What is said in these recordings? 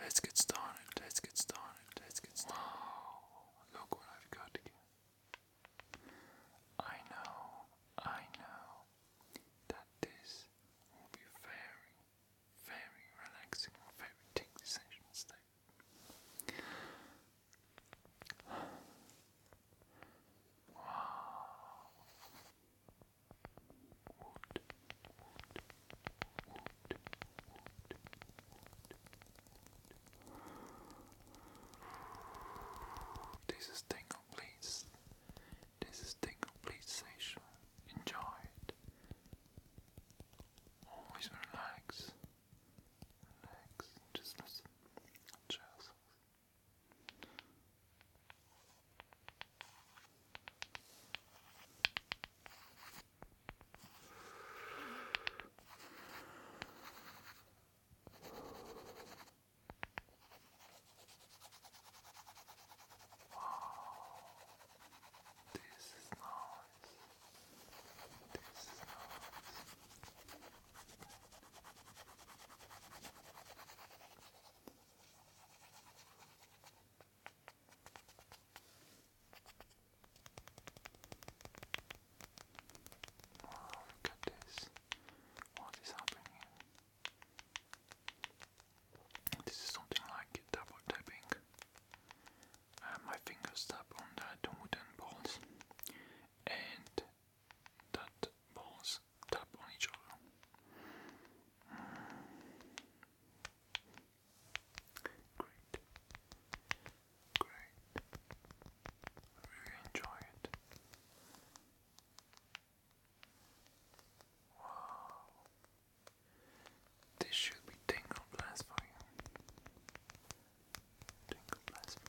Let's get started, let's get started, let's get started. Wow, look what I've got here. I know, I know that this will be very, very relaxing, very tingly session today. Wow. This is Tingle Please. This is Tingle Please Station. Enjoy it. Always relax. Relax. Just listen. Just Wow. This is nice. This is nice. Oh goodness, what is happening? This is something like double tapping. Uh, my fingers tap on the wooden balls, and that balls tap on each other. Great. Great. really enjoy it. Wow. This should be tingle blast for you. Tingle blast for you.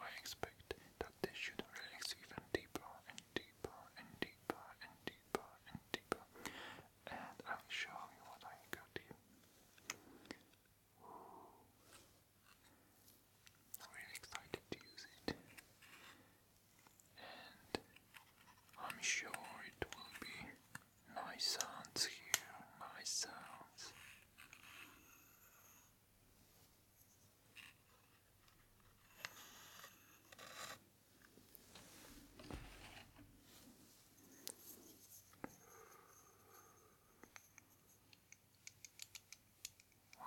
I expect that they should relax even deeper and deeper and deeper and deeper and deeper. And I'll show you what I got here. I'm really excited to use it. And I'm sure it will be nice sounds here, nice sounds. Wow,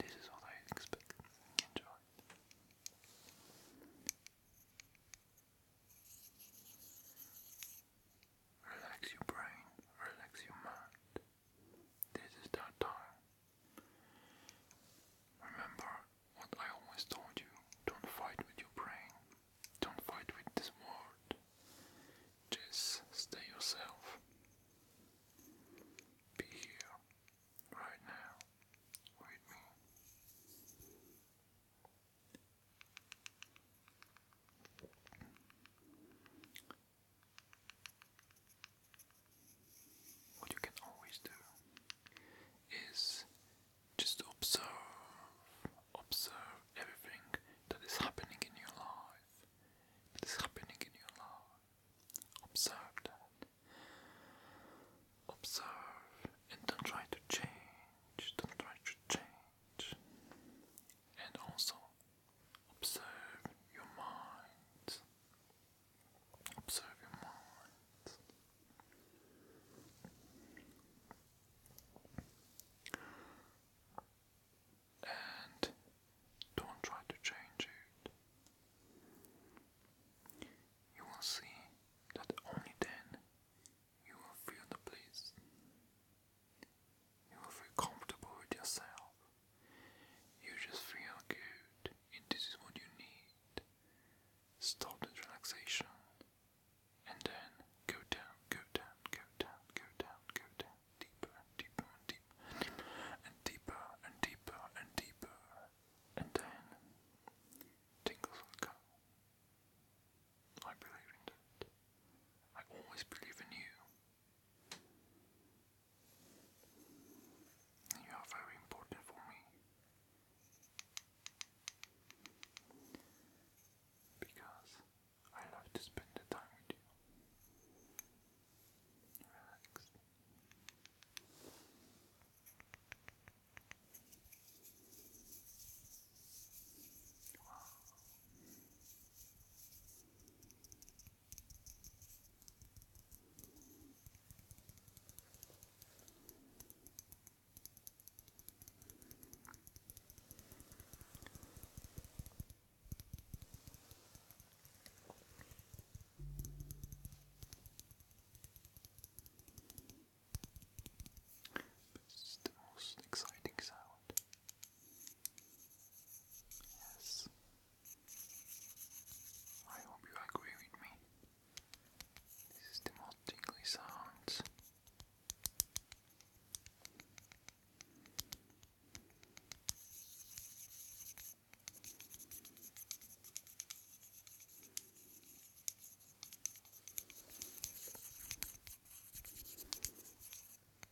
this is what I expected. Enjoy. Relax your brain, relax your mind. This is that time. Remember what I always told you don't fight with your brain, don't fight with this world. Just stay yourself. Be here, right now, with me. What you can always do is just observe, observe everything that is happening in your life. That is happening in your life. Observe that. Observe and don't try to change. Don't try to change and also observe your mind. Observe your mind. And don't try to change it. You will see that only then you will feel the bliss. You feel comfortable with yourself. You just feel good, and this is what you need. Stop relaxation, and then go down, go down, go down, go down, go down, deeper, deeper, and deeper, and deeper, and deeper, and then tingles will come. I believe in that. I always believe in you. You are very important for me because I love to spend the time with you. Relax. But it's the most exciting sound. Yes. I hope you agree with me. This is the most tingly sounds.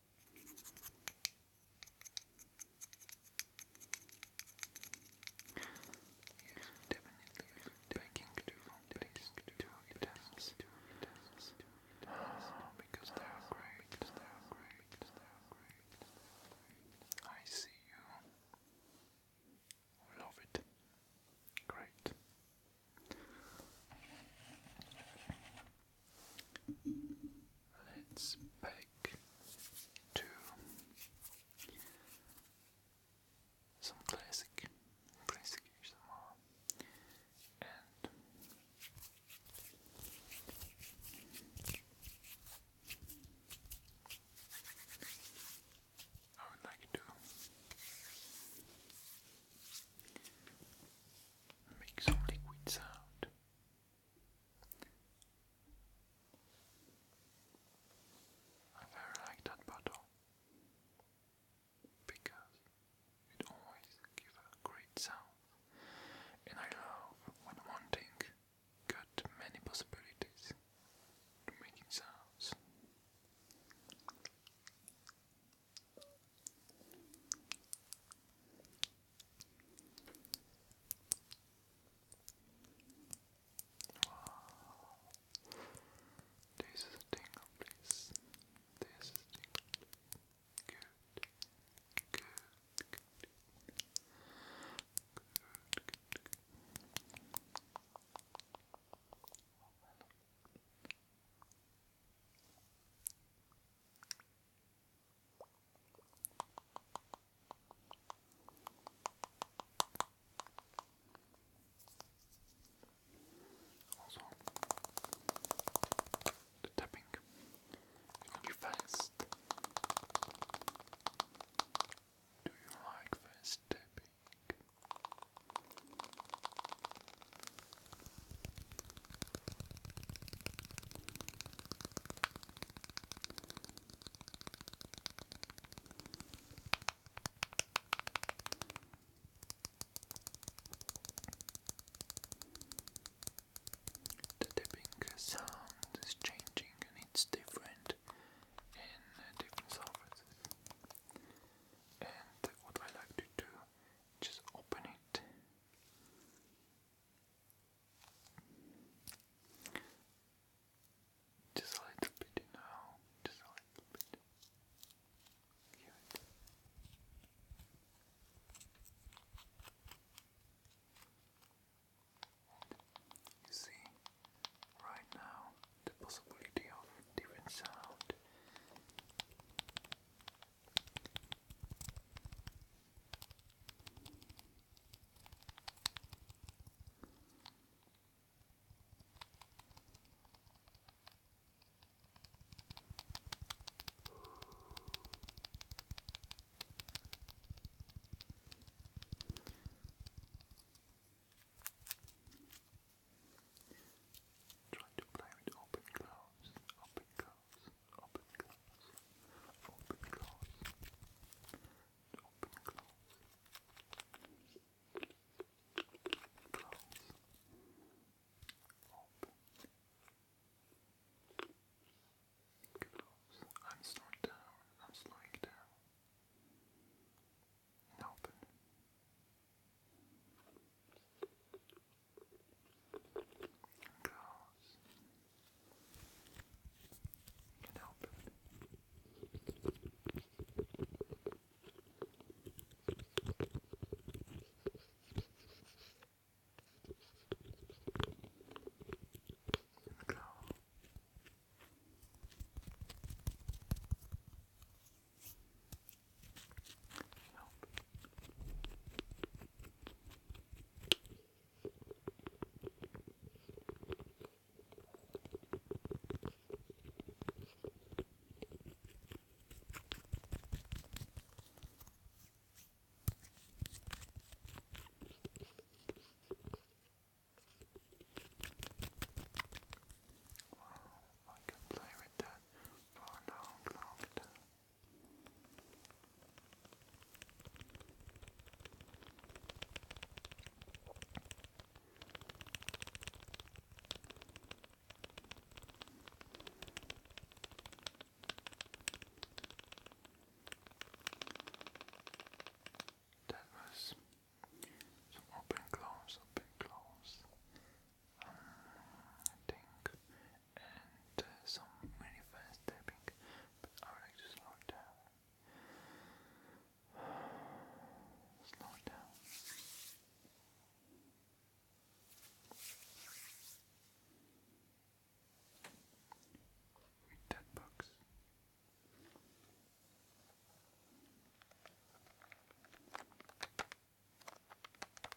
Because they are great, because they are great, because they are great. I see you. Love it. Great. Let's back to some classic, classic and I would like to Make some liquid sound. I very like that bottle because it always gives great sound, and I love when one thing got many possibilities to making sounds. Wow. This is a tingle place. This is a tingle place. Good. Good. Good. Good. Good. Good. Oh, also, the tapping is really fast. Do you like fast tapping? The tapping sound is changing and it's different in different surfaces. And what I like to do, just open it just a little bit now, just a little bit. You see, right now, the possibility of different sound Try to play with open close, open close open class, open class, open class, class, open class. I'm slowing down, I'm slowing down. Open and girls can help it. And girl. Help. Wow, I can play with that for a long, long time. That was some open close, open close. Um, I think and uh, some really fast tapping, but I would like to slow it down. Slow it down. Read that box.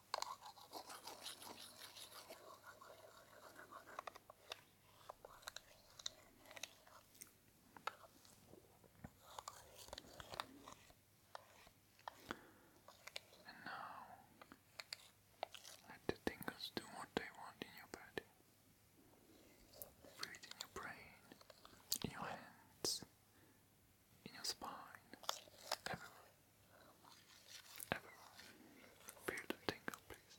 And now let the tingles do what they want in your body. in your brain, in your hands, in your spine, everywhere. Everyone, feel the tingle, please.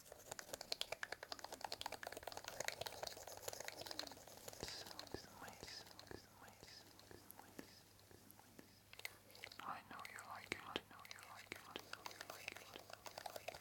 Silks and lace, silks and lace, silks and lace, silks and lace. I know you like it, I know you like it, I know you like it, I know you like it.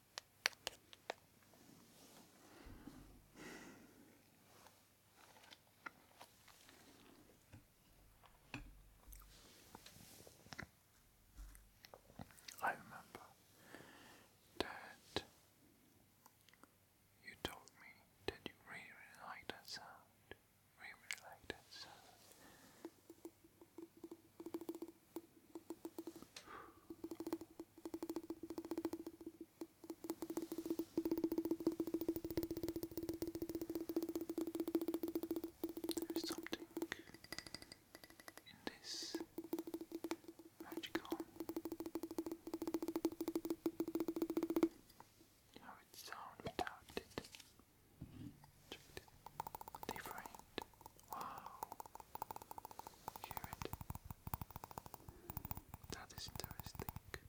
I remember that you told me that you really, really like that sound. Really, really like that sound. There's something in this magical how it sounds without it. Different. Wow. Hear it. That is interesting. Wow.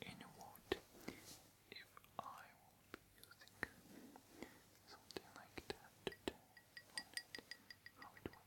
In what if I will be using something like that today on it, how it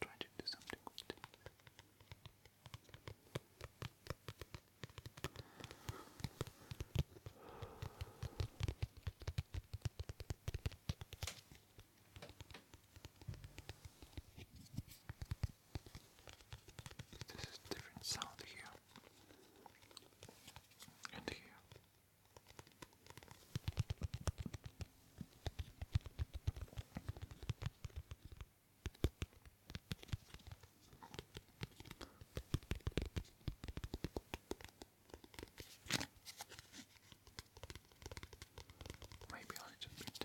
try to do something with This is different sound here and here. Maybe I need a bit.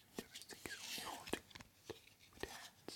and everything is only holding with hands.